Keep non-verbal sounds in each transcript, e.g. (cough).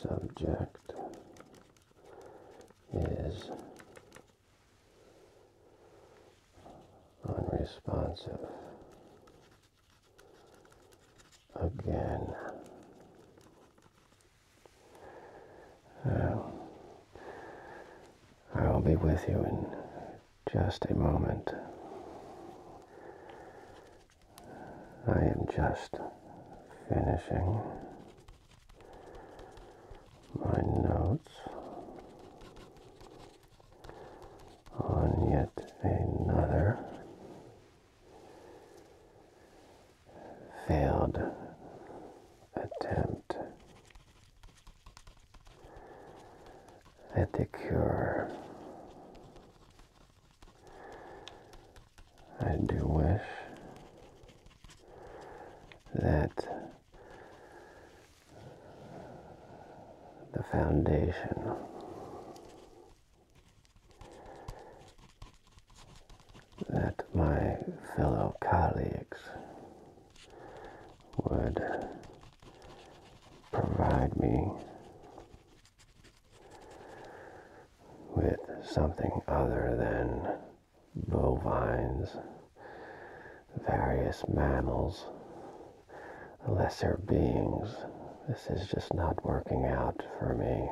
subject is unresponsive again. Um, I'll be with you in just a moment. I am just finishing my notes on yet another failed attempt at the cure. I do wish that the foundation that my fellow colleagues would provide me with something other than bovines, various mammals, lesser beings this is just not working out for me.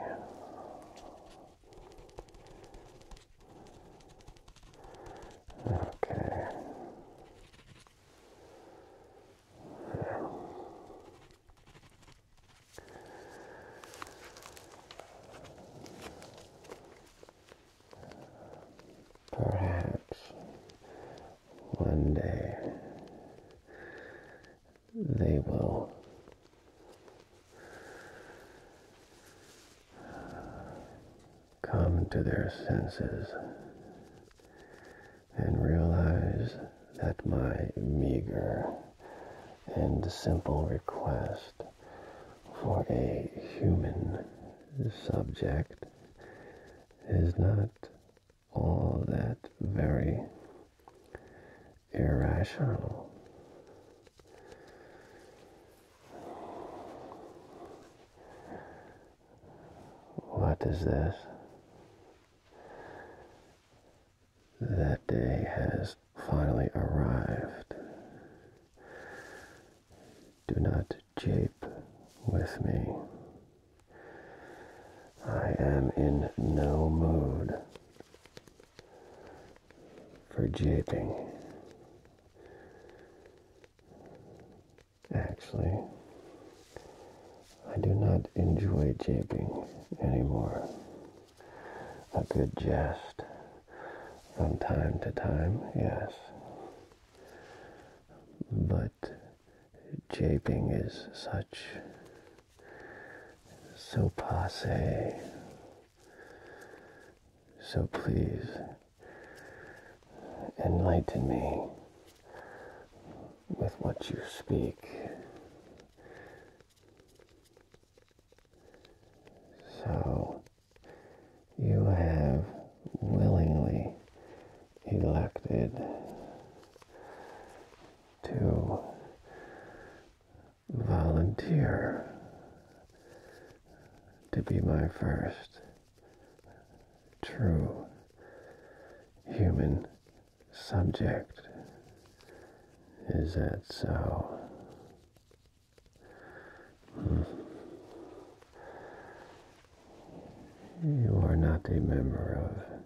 Okay. Perhaps one day they will come to their senses and realize that my meager and simple request for a human subject is not all that very irrational. What is this? That day has finally arrived. Do not jape with me. I am in no mood for japing. Actually, I do not enjoy japing anymore. A good jest from time to time, yes. But japing is such so passe. So please enlighten me with what you speak. So you have willingly elected to volunteer to be my first true human subject. Is that so? Hmm. You are not a member of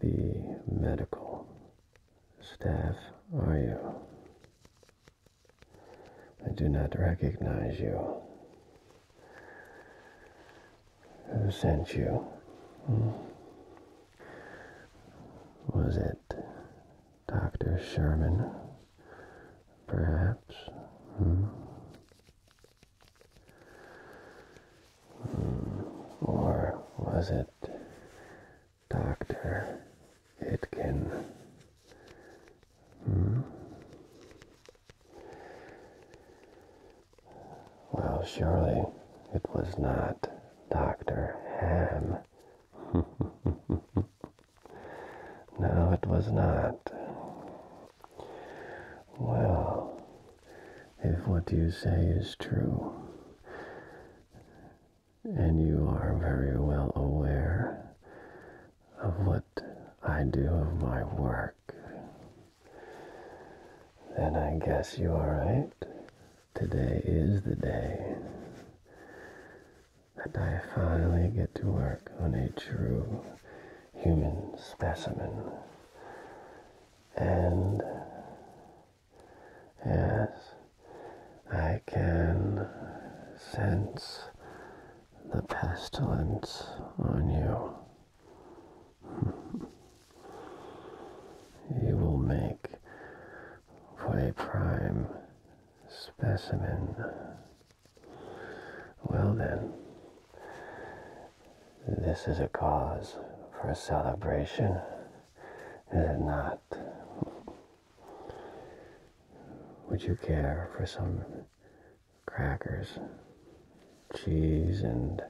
the medical staff are you? I do not recognize you. Who sent you? Hmm? Was it Dr. Sherman, perhaps? Hmm? Or was it Dr. Itkin? Hmm? Well, surely it was not Dr. Ham. (laughs) no, it was not. Well, if what you say is true, and you are very well aware of what I do of my work, then I guess you are right. Today is the day that I finally get to work on a true human specimen. And Yes, I can sense the pestilence on you. (laughs) you will make for a prime specimen. Well then, this is a cause for celebration, is it not? Would you care for some crackers, cheese, and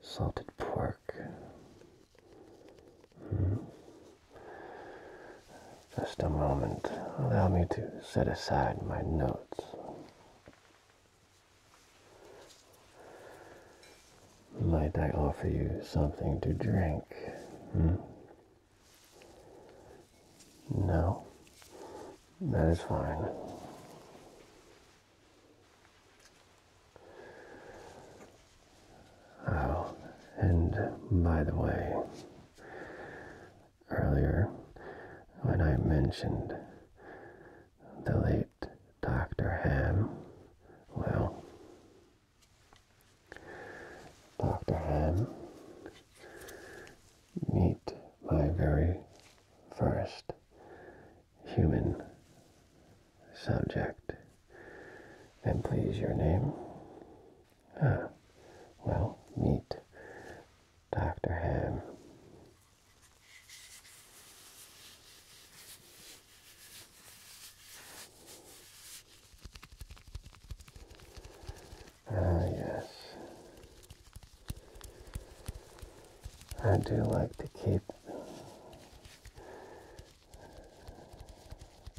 salted pork? Hmm. Just a moment. Allow me to set aside my notes. Might I offer you something to drink? Hmm? No, that is fine. Oh, and by the way, earlier when I mentioned the late Dr. Ham. Well, Dr. Ham, meet my very first human subject. And please, your name? Ah, well, meet Dr. Ham. Ah, yes. I do like to keep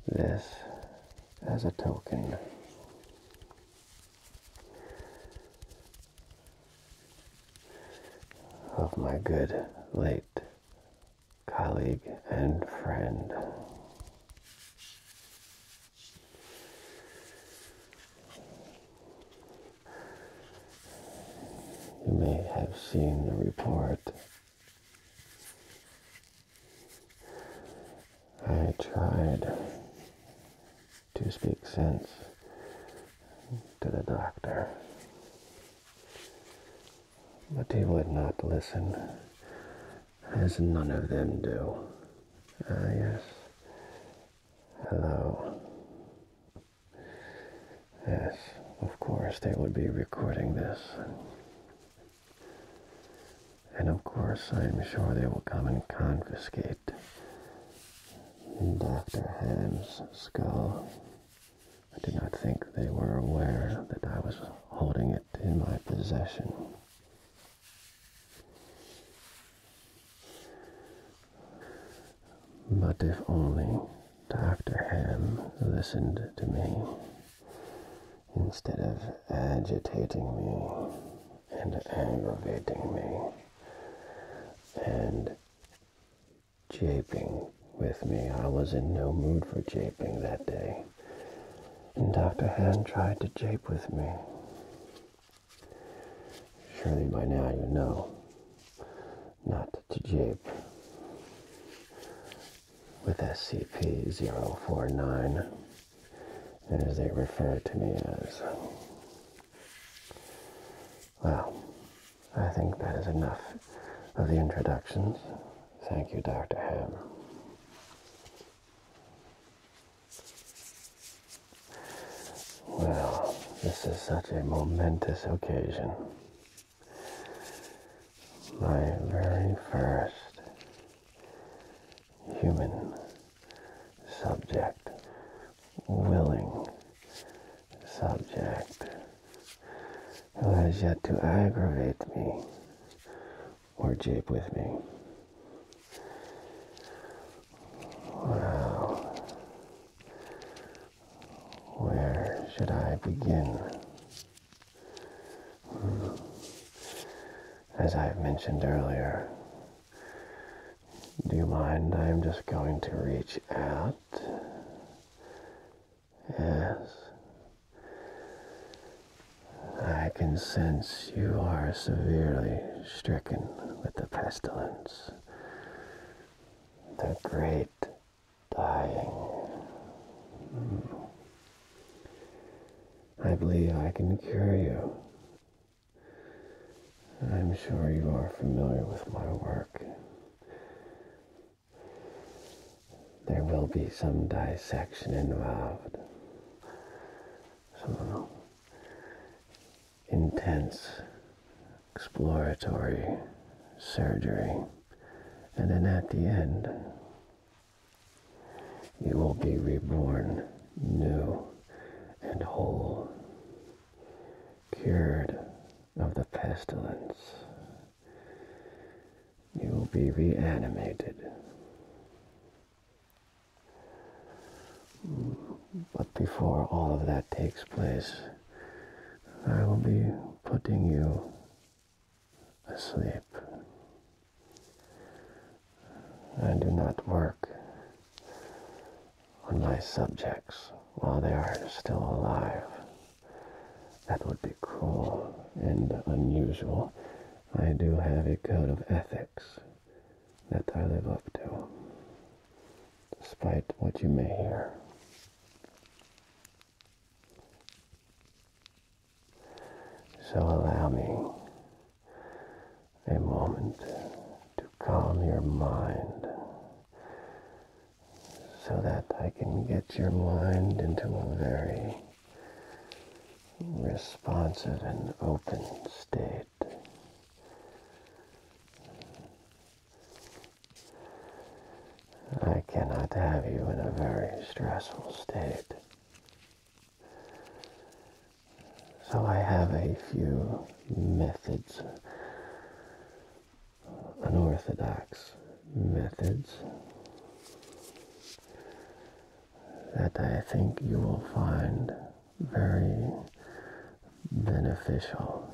this as a token of my good late colleague and friend. You may have seen the report. I tried to speak sense to the doctor. But he would not listen, as none of them do. Ah, yes. Hello. Yes, of course they would be recording this. And of course I'm sure they will come and confiscate Dr. Ham's skull. I did not think they were aware that I was holding it in my possession. But if only Dr. Ham listened to me instead of agitating me and aggravating me and japing with me. I was in no mood for japing that day. And Dr. Hand tried to jape with me. Surely by now you know not to jape with SCP-049, as they refer to me as. Well, I think that is enough of the introductions. Thank you, Dr. Ham. Well, this is such a momentous occasion. My very first human subject, willing subject who has yet to aggravate me or jape with me. Wow. Where should I begin? Hmm. As I've mentioned earlier, do you mind? I'm just going to reach out Yes. I can sense you are severely stricken with the pestilence, the great dying. I believe I can cure you. I'm sure you are familiar with my work. There will be some dissection involved. Some intense exploratory surgery. And then at the end, you will be reborn new and whole, cured of the pestilence. You will be reanimated. But before all of that takes place, I will be putting you asleep. I do not work on my subjects while they are still alive. That would be cruel and unusual. I do have a code of ethics that I live up to, despite what you may hear. So allow me a moment to calm your mind so that I can get your mind into a very responsive and open state. I cannot have you in a very stressful state. So I have a few methods unorthodox methods that I think you will find very beneficial.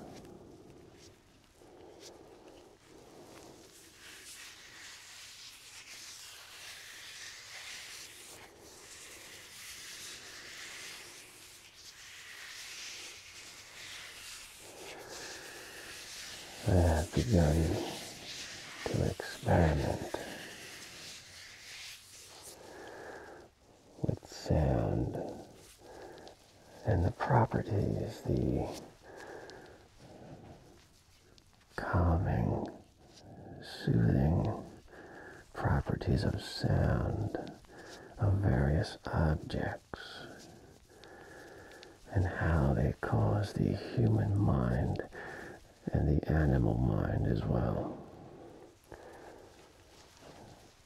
I have begun to experiment with sound and the properties, the calming, soothing properties of sound of various objects and how they cause the human mind and the animal mind as well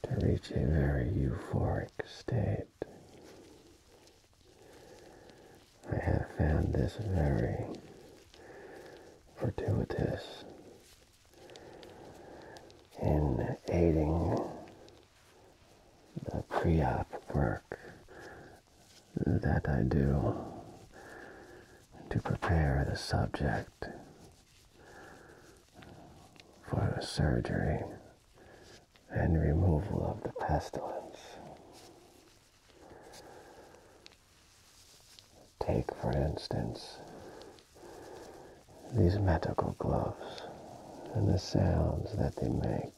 to reach a very euphoric state. I have found this very fortuitous in aiding the pre-op work that I do to prepare the subject for surgery and removal of the pestilence. Take, for instance, these medical gloves and the sounds that they make.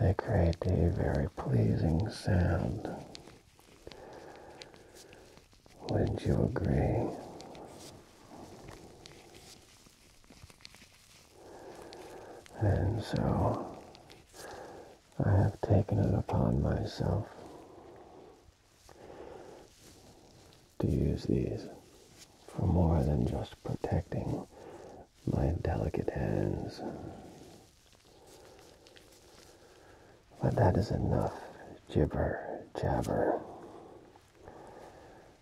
They create a very pleasing sound. Would you agree? And so I have taken it upon myself to use these for more than just protecting my delicate hands. But that is enough gibber jabber.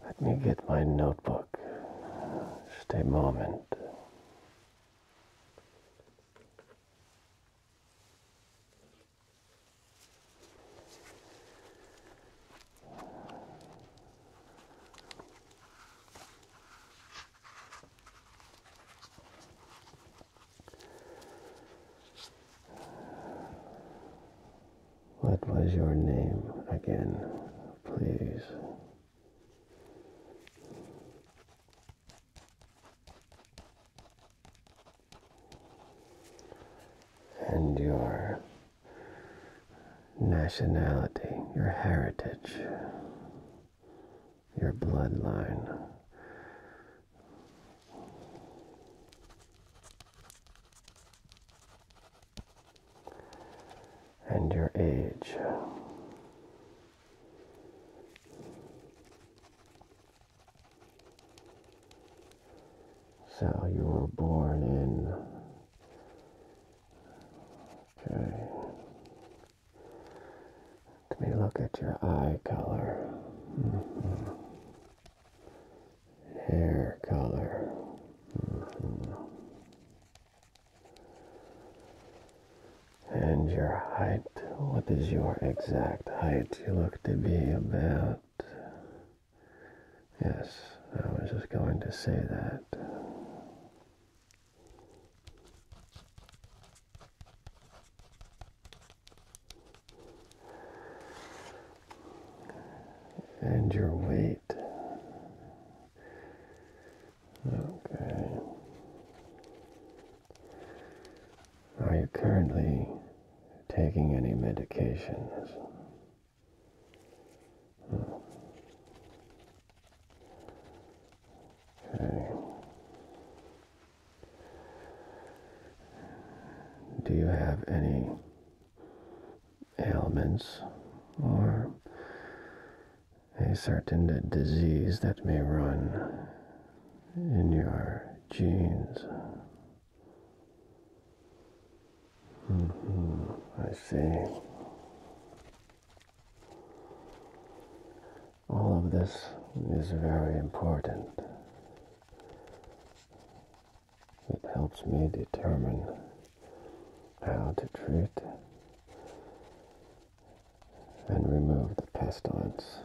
Let me get my notebook. Just a moment. What was your name again, please? And your nationality, your heritage, your bloodline and your age. So you were born in. Okay. Let me look at your eye color. Mm-hmm hair color. And your height, what is your exact height? You look to be about, yes, I was just going to say that and your weight. Okay. Are you currently taking any medications? Okay. Do you have any ailments or a certain disease that may run in your genes. Mm-hmm, I see. All of this is very important. It helps me determine how to treat and remove the pestilence.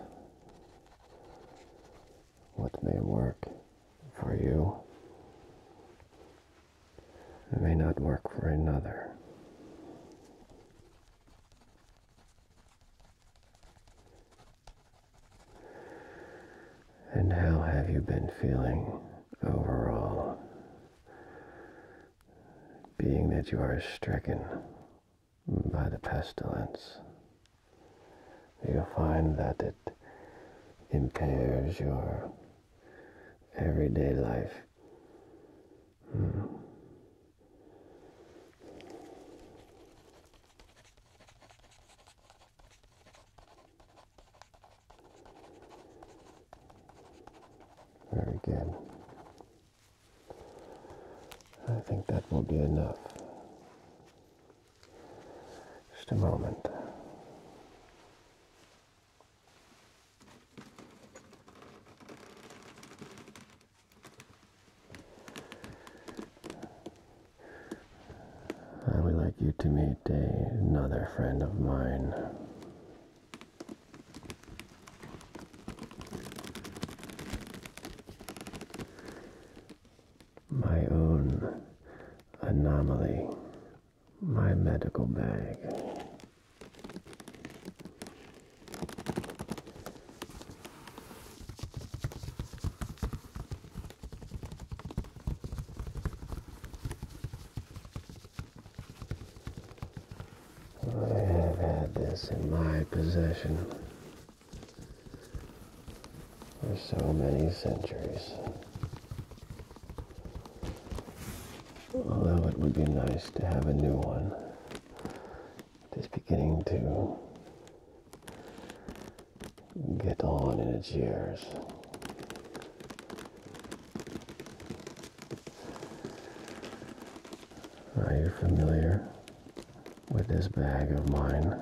What may work for you it may not work for another. And how have you been feeling overall? Being that you are stricken by the pestilence, you find that it impairs your everyday life. Very good. I think that will be enough. Just a moment. I would like you to meet another friend of mine. My own anomaly, my medical bag. I have had this in my possession for so many centuries. Although it would be nice to have a new one. Just beginning to get on in its years. Are you familiar with this bag of mine?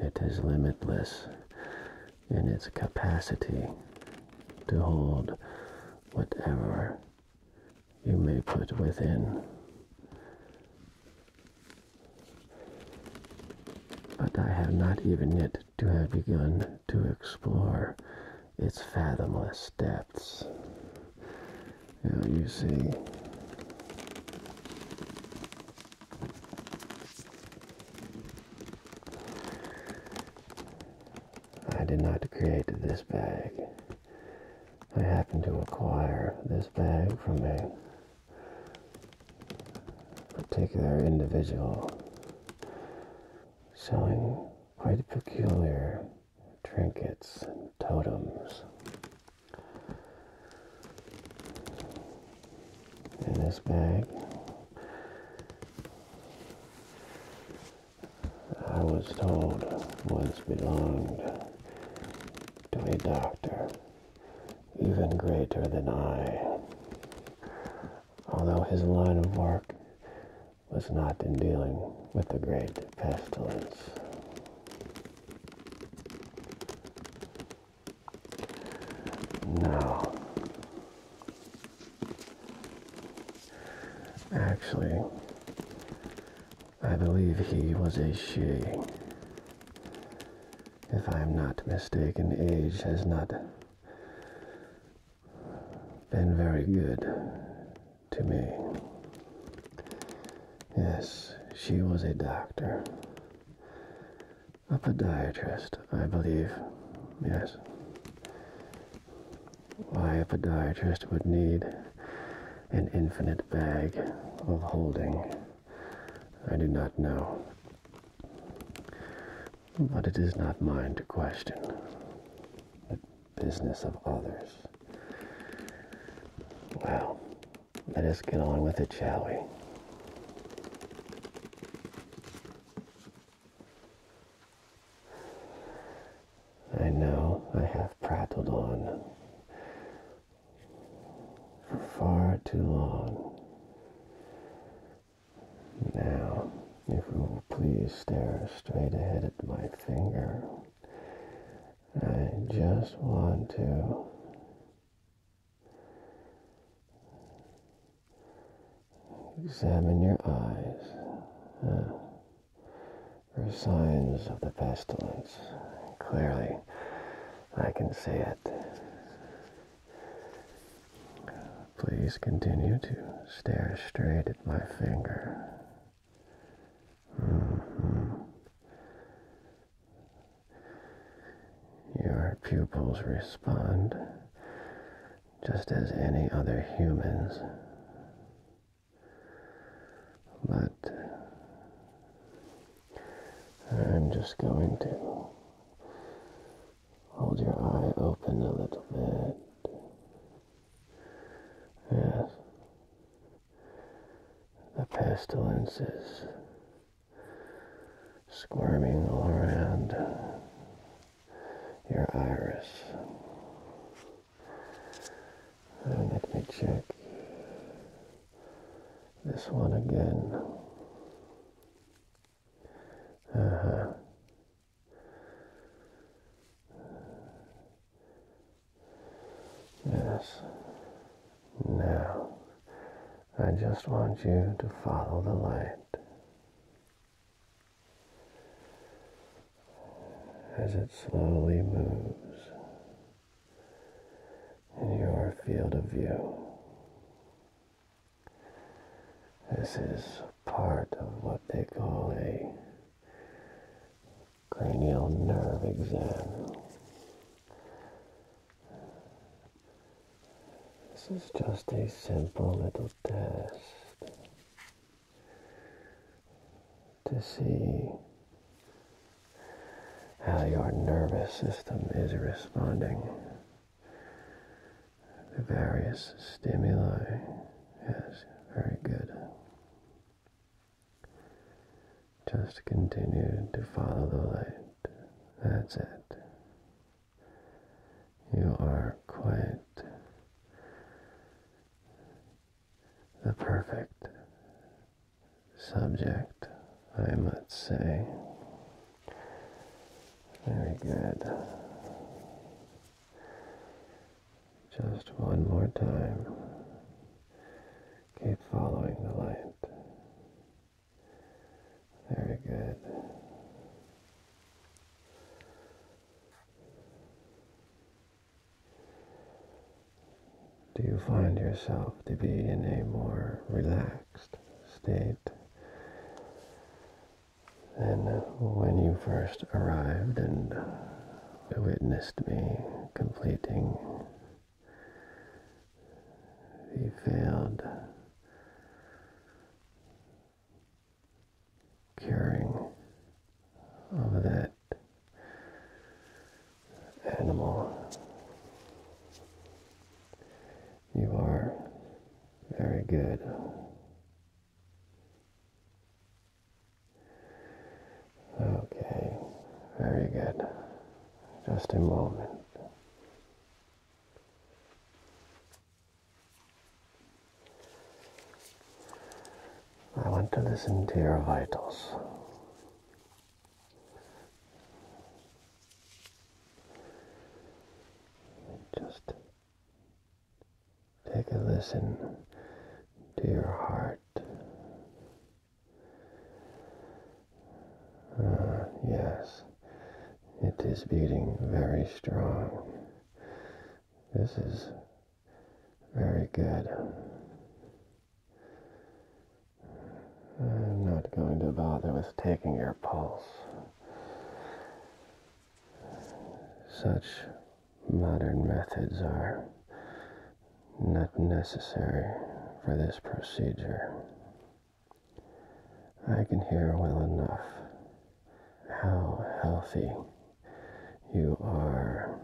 It is limitless in its capacity to hold whatever you may put within. But I have not even yet to have begun to explore its fathomless depths. Now you see, I did not create this bag. I happened to acquire this bag from a particular individual selling quite peculiar trinkets and totems. In this bag I was told once belonged to a doctor even greater than I, although his line of work was not in dealing with the great pestilence. No, actually, I believe he was a she. If I am not mistaken, age has not been very good to me. Yes, she was a doctor. A podiatrist, I believe. Yes why a podiatrist would need an infinite bag of holding, I do not know. But it is not mine to question the business of others. Well, let us get on with it, shall we? I know I have prattled on for far too long. Now, if you will please stare straight ahead at my finger, I just want to. Examine your eyes. Are signs of the pestilence. Clearly, I can see it. Please continue to stare straight at my finger. Mm-hmm. Your pupils respond just as any other humans but uh, I'm just going to hold your eye open a little bit. Yes, the pestilence is squirming all around your iris let me check this one again. Uh-huh. Yes. Now, I just want you to follow the light as it slowly moves in your field of view. This is part of what they call a cranial nerve exam. This is just a simple little test to see how your nervous system is responding to various stimuli. Yes, very good. Just continue to follow the light. That's it. You are quite the perfect subject, I must say. Very good. Just one more time. Keep following the light. Very good. Do you find yourself to be in a more relaxed state than when you first arrived and witnessed me completing the failed curing of that animal. You are very good. Okay, very good. Just a moment. I want to listen to your vitals. Just take a listen to your heart. Uh, yes, it is beating very strong. This is very good. I'm not going to bother with taking your pulse. Such modern methods are not necessary for this procedure. I can hear well enough how healthy you are.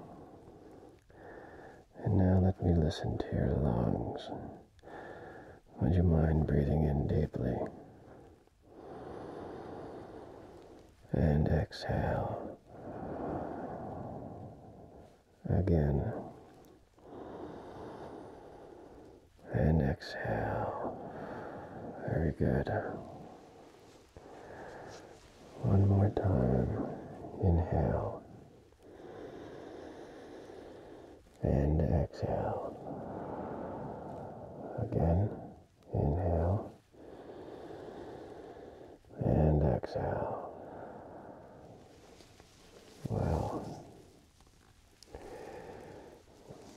And now let me listen to your lungs. Would you mind breathing in deeply? And exhale. Again. And exhale. Very good. One more time. Inhale. And exhale. Again. Inhale. And exhale. Well,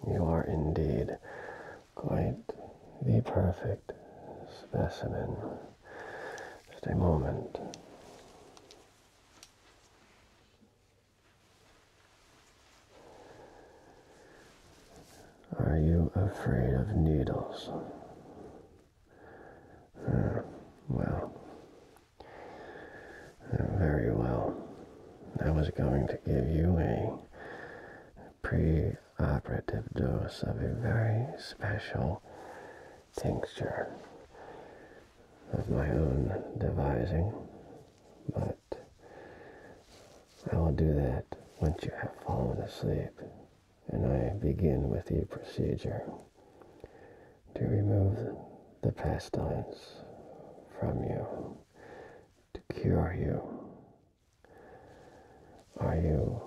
you are indeed quite the perfect specimen. Just a moment. Are you afraid of needles? Hmm, well, hmm, very well. I was going to give you a pre operative dose of a very special tincture of my own devising, but I will do that once you have fallen asleep and I begin with the procedure to remove the pestilence from you, to cure you. Are you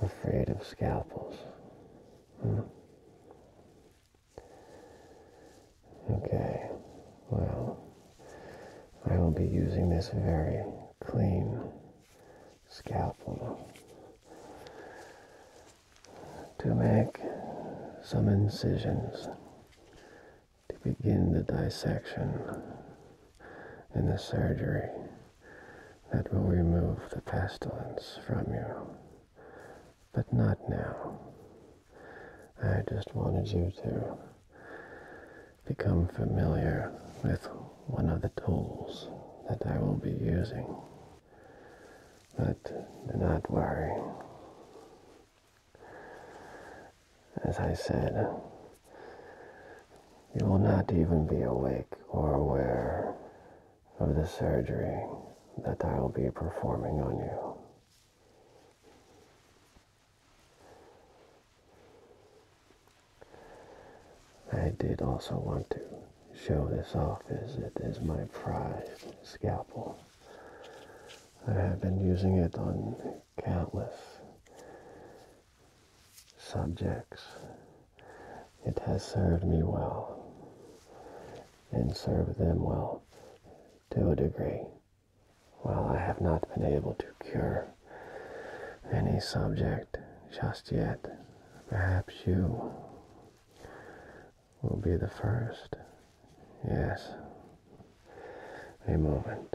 afraid of scalpels? Hmm? Okay, well, I will be using this very clean scalpel to make some incisions to begin the dissection and the surgery that will remove the pestilence from you. But not now. I just wanted you to become familiar with one of the tools that I will be using. But do not worry. As I said, you will not even be awake or aware of the surgery that I will be performing on you. I did also want to show this off as it is my prized scalpel. I have been using it on countless subjects it has served me well, and served them well to a degree. While I have not been able to cure any subject just yet, perhaps you will be the first. Yes, a moment.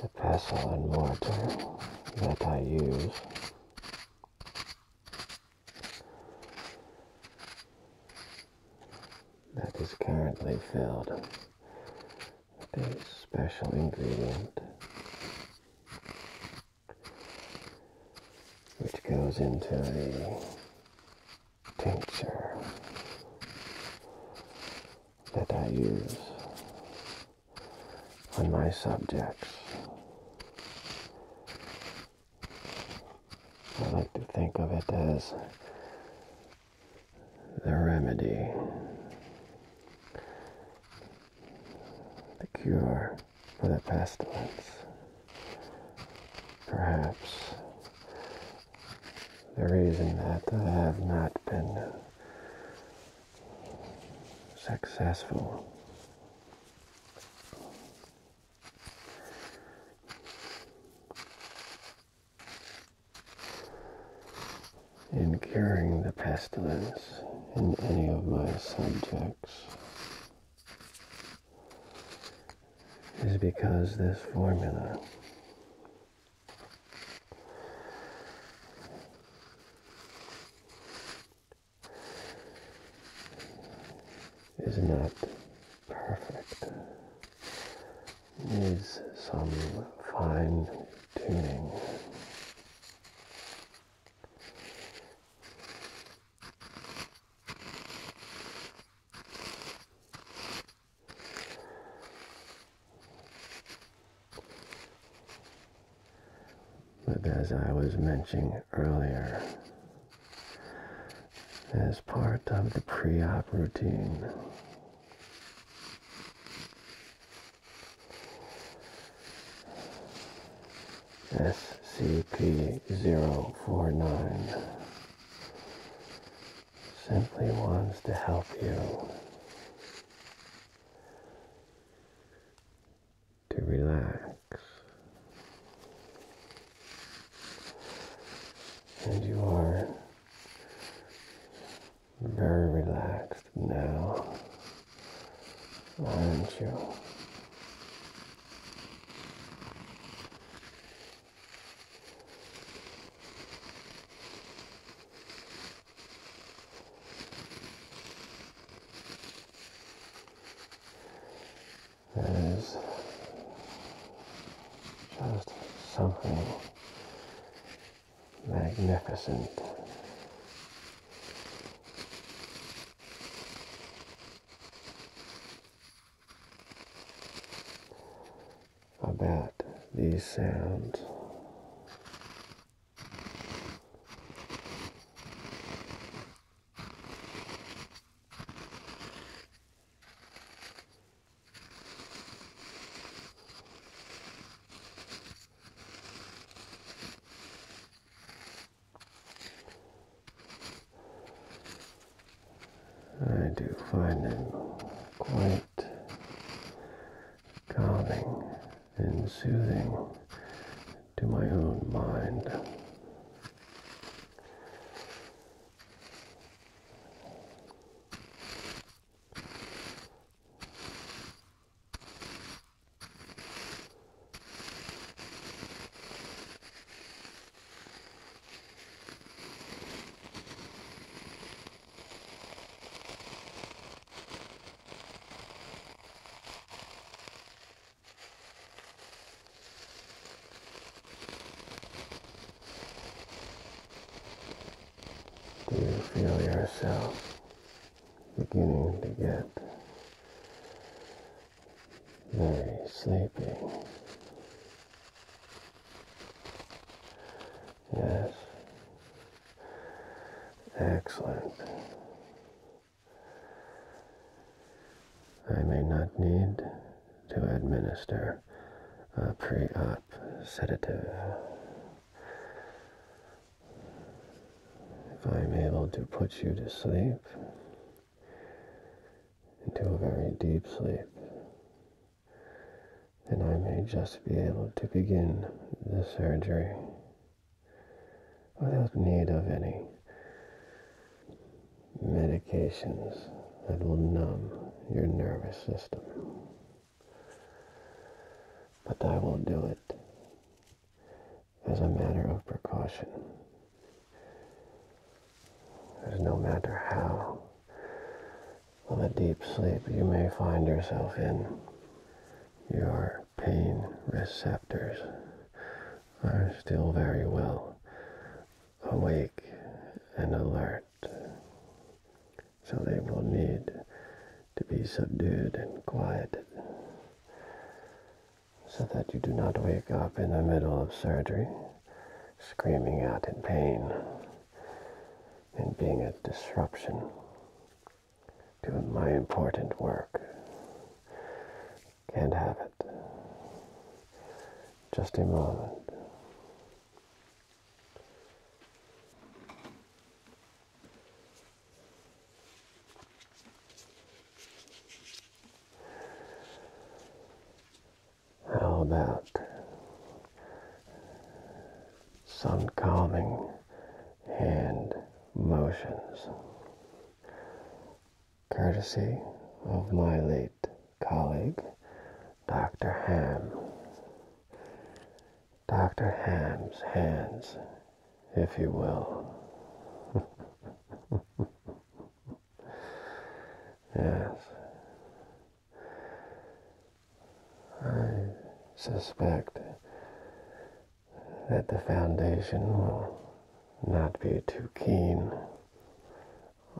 the pestle and mortar that I use. That is currently filled with a special ingredient which goes into the tincture that I use on my subjects. I like to think of it as the remedy, the cure for the pestilence. Perhaps the reason that I have not been successful in curing the pestilence in any of my subjects is because this formula is not perfect, needs some fine tuning. But as I was mentioning earlier, as part of the pre-op routine, SCP-049 simply wants to help you to relax. And you are very relaxed now, aren't you? There is just something magnificent about these sounds. I do find them quite calming and soothing to my own mind. Do you feel yourself beginning to get very sleepy? Yes. Excellent. I may not need to administer a pre op sedative. If I'm able to put you to sleep, into a very deep sleep, then I may just be able to begin the surgery without need of any medications that will numb your nervous system. But I will do it as a matter of precaution. Because no matter how on a deep sleep you may find yourself in. Your pain receptors are still very well awake and alert, so they will need to be subdued and quieted so that you do not wake up in the middle of surgery screaming out in pain and being a disruption to my important work. Can't have it. Just a moment. How about some calming hand motions, courtesy of my late colleague, Dr. Ham. Dr. Ham's hands, if you will. (laughs) yes, I suspect that the Foundation will not be too keen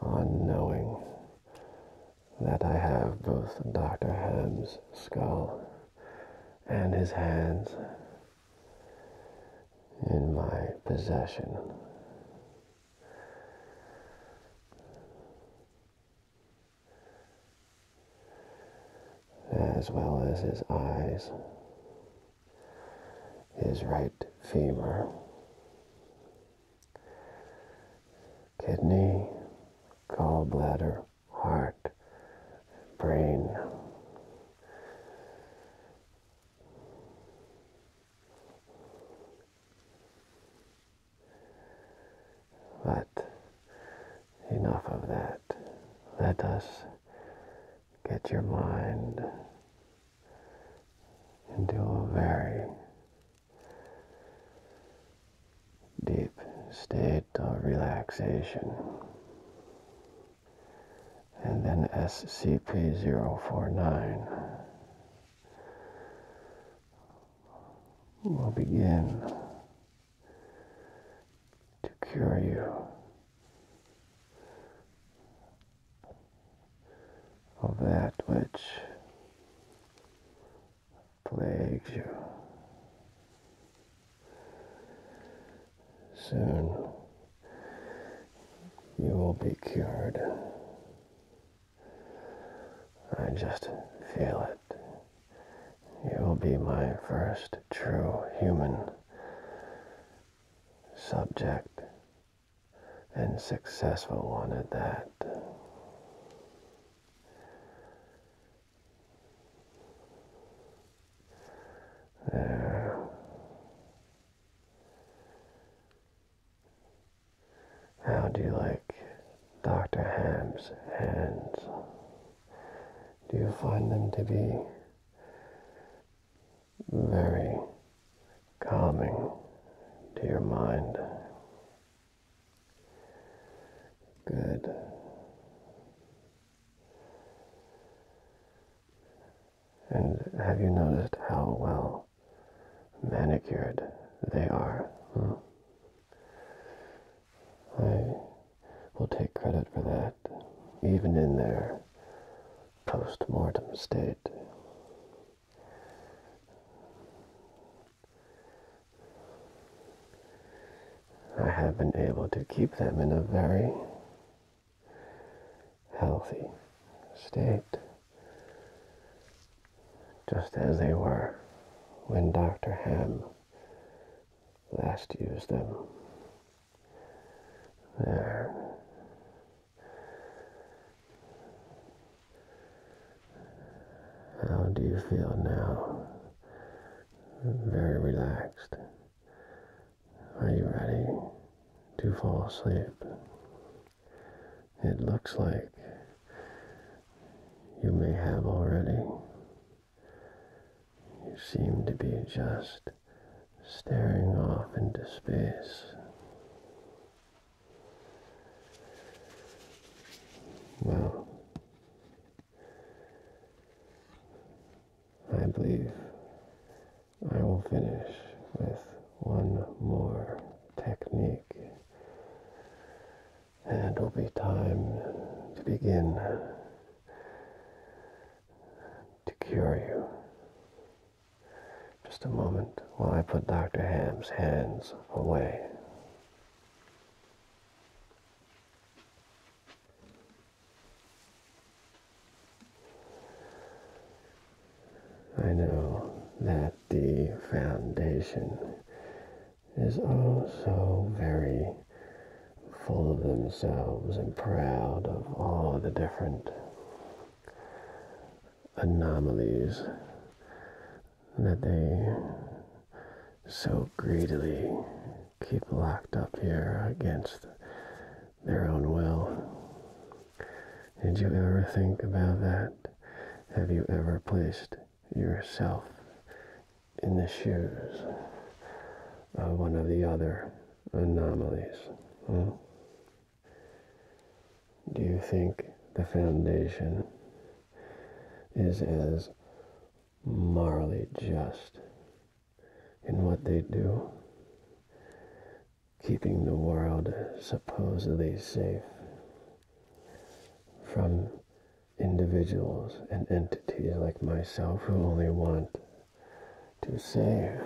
on knowing that I have both Dr. Ham's skull and his hands in my possession as well as his eyes, his right femur, kidney, gallbladder, heart, brain. But enough of that. Let us get your mind into a very deep state of relaxation. And then SCP-049 will begin to cure you of that which plagues you. Soon you will be cured. I just feel it. You will be my first true human subject, and successful one at that. There. How do you like Dr. Ham's hands? Do you find them to be very calming to your mind? Good. And have you noticed how well manicured they are? Hmm. I will take credit for that, even in their post-mortem state. I have been able to keep them in a very healthy state just as they were when Dr. Ham last used them. There. How do you feel now? Very relaxed. Are you ready to fall asleep? It looks like you may have already. You seem to be just staring off into space. Well, I believe I will finish with one more technique and it will be time to begin to cure you. Just a moment while I put Dr. Ham's hands away. I know that the foundation is also very full of themselves and proud of all the different anomalies that they so greedily keep locked up here against their own will. Did you ever think about that? Have you ever placed yourself in the shoes of one of the other anomalies. Hmm? Do you think the foundation is as morally just in what they do? Keeping the world supposedly safe from individuals and entities like myself who only want to save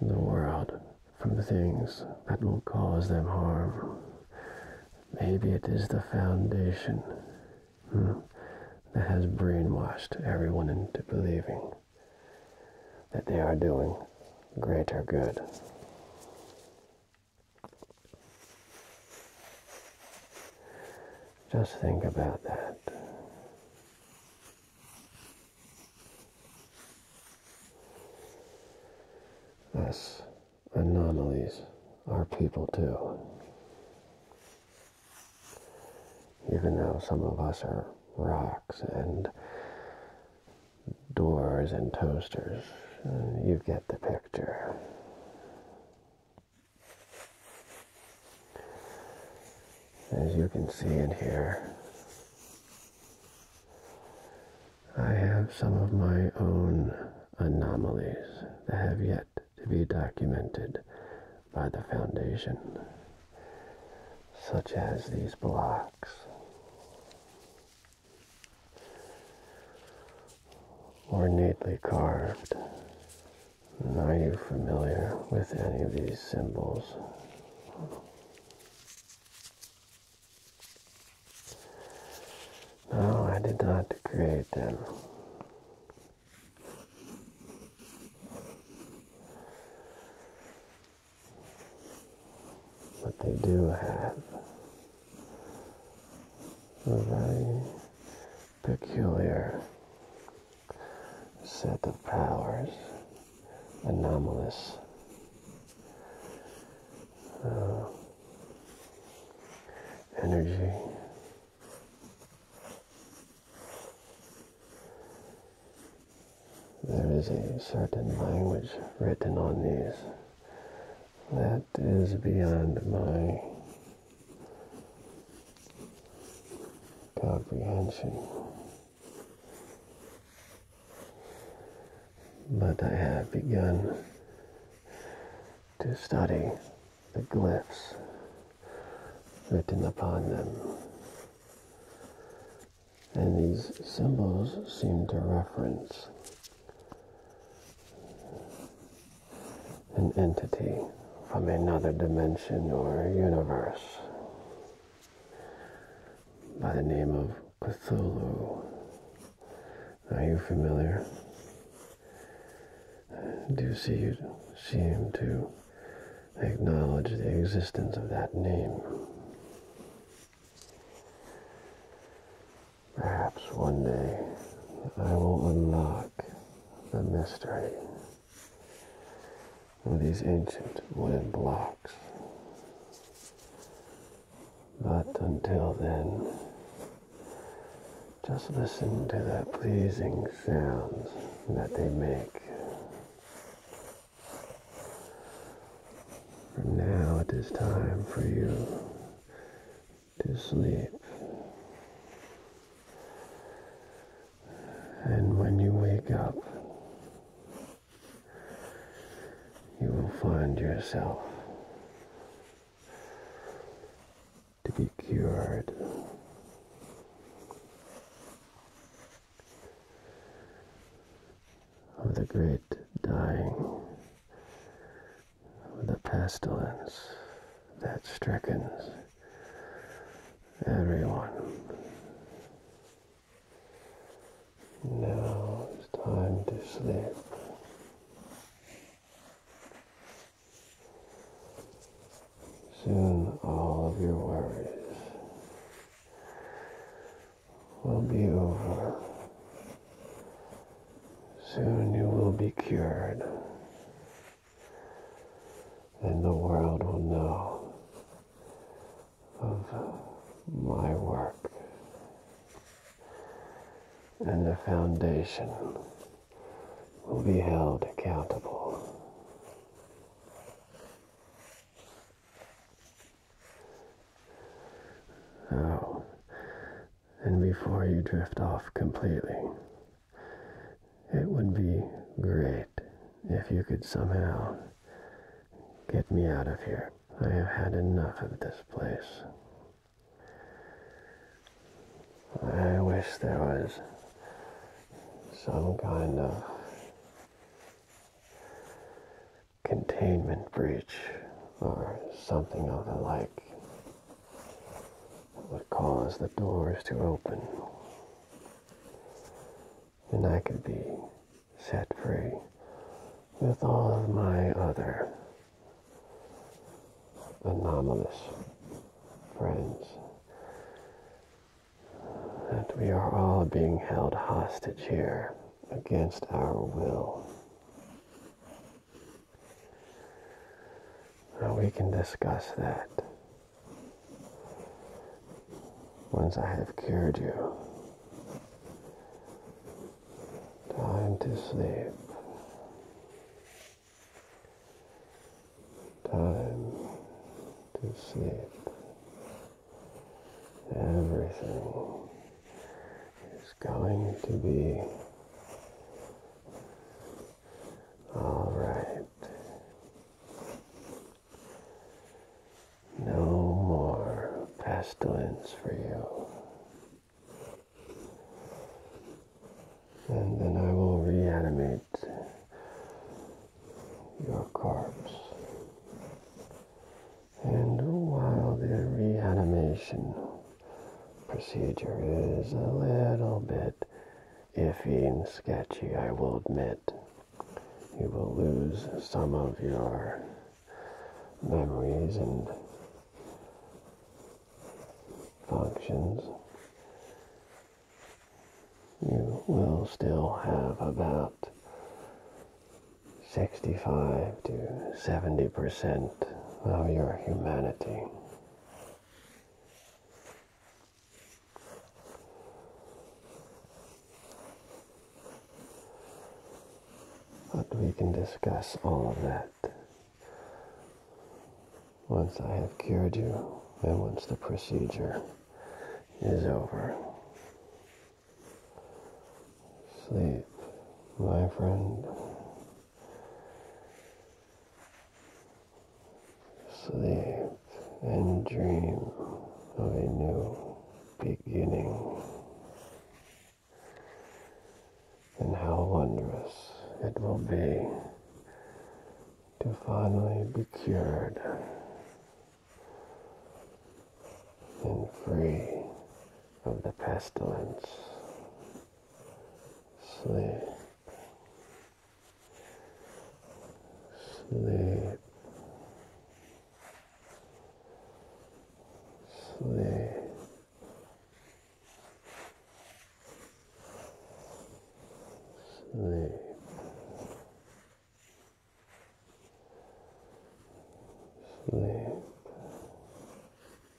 the world from things that will cause them harm. Maybe it is the foundation hmm, that has brainwashed everyone into believing that they are doing greater good. Just think about that. Us anomalies are people too. Even though some of us are rocks and doors and toasters. You get the picture. As you can see in here, I have some of my own anomalies that have yet to be documented by the Foundation, such as these blocks ornately carved. And are you familiar with any of these symbols? No, I did not create them. But they do have very peculiar set of powers, anomalous. Uh, energy. There is a certain language written on these that is beyond my comprehension. But I have begun to study the glyphs written upon them. And these symbols seem to reference an entity from another dimension or universe by the name of Cthulhu. Are you familiar? Do you see you seem to acknowledge the existence of that name? Perhaps one day I will unlock the mystery of these ancient wooden blocks. But until then, just listen to the pleasing sounds that they make. From now it is time for you to sleep. And when you wake up, you will find yourself to be cured. Of the great dying the pestilence that stricken everyone. Now it's time to sleep. Soon all of your worries will be over Soon you will be cured, and the world will know of my work and the foundation will be held accountable. Now, and before you drift off completely. It would be great if you could somehow get me out of here. I have had enough of this place. I wish there was some kind of containment breach or something of the like would cause the doors to open and I could be set free with all my other anomalous friends that we are all being held hostage here against our will we can discuss that once I have cured you. Time to sleep. Time to sleep. Everything is going to be all right. No more pestilence for you. And then I will reanimate your corpse and while the reanimation procedure is a little bit iffy and sketchy, I will admit, you will lose some of your memories and functions. You will still have about 65 to 70% of your humanity. But we can discuss all of that once I have cured you and once the procedure is over. Sleep, my friend. Sleep and dream of a new beginning. And how wondrous it will be to finally be cured and free of the pestilence. Sleep. Sleep. Sleep. Sleep. Sleep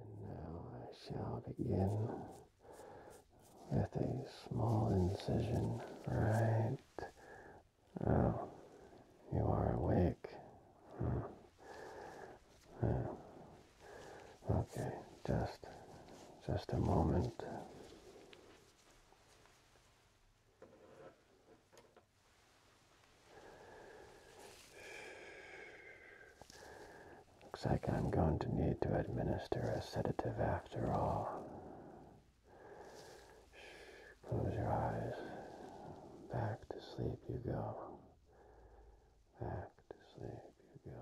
And now I shall begin with a small incision right. Oh, you are awake. Hmm. okay, just, just a moment. Looks like I'm going to need to administer a sedative after all. Close your eyes. Back to sleep you go. Back to sleep you go.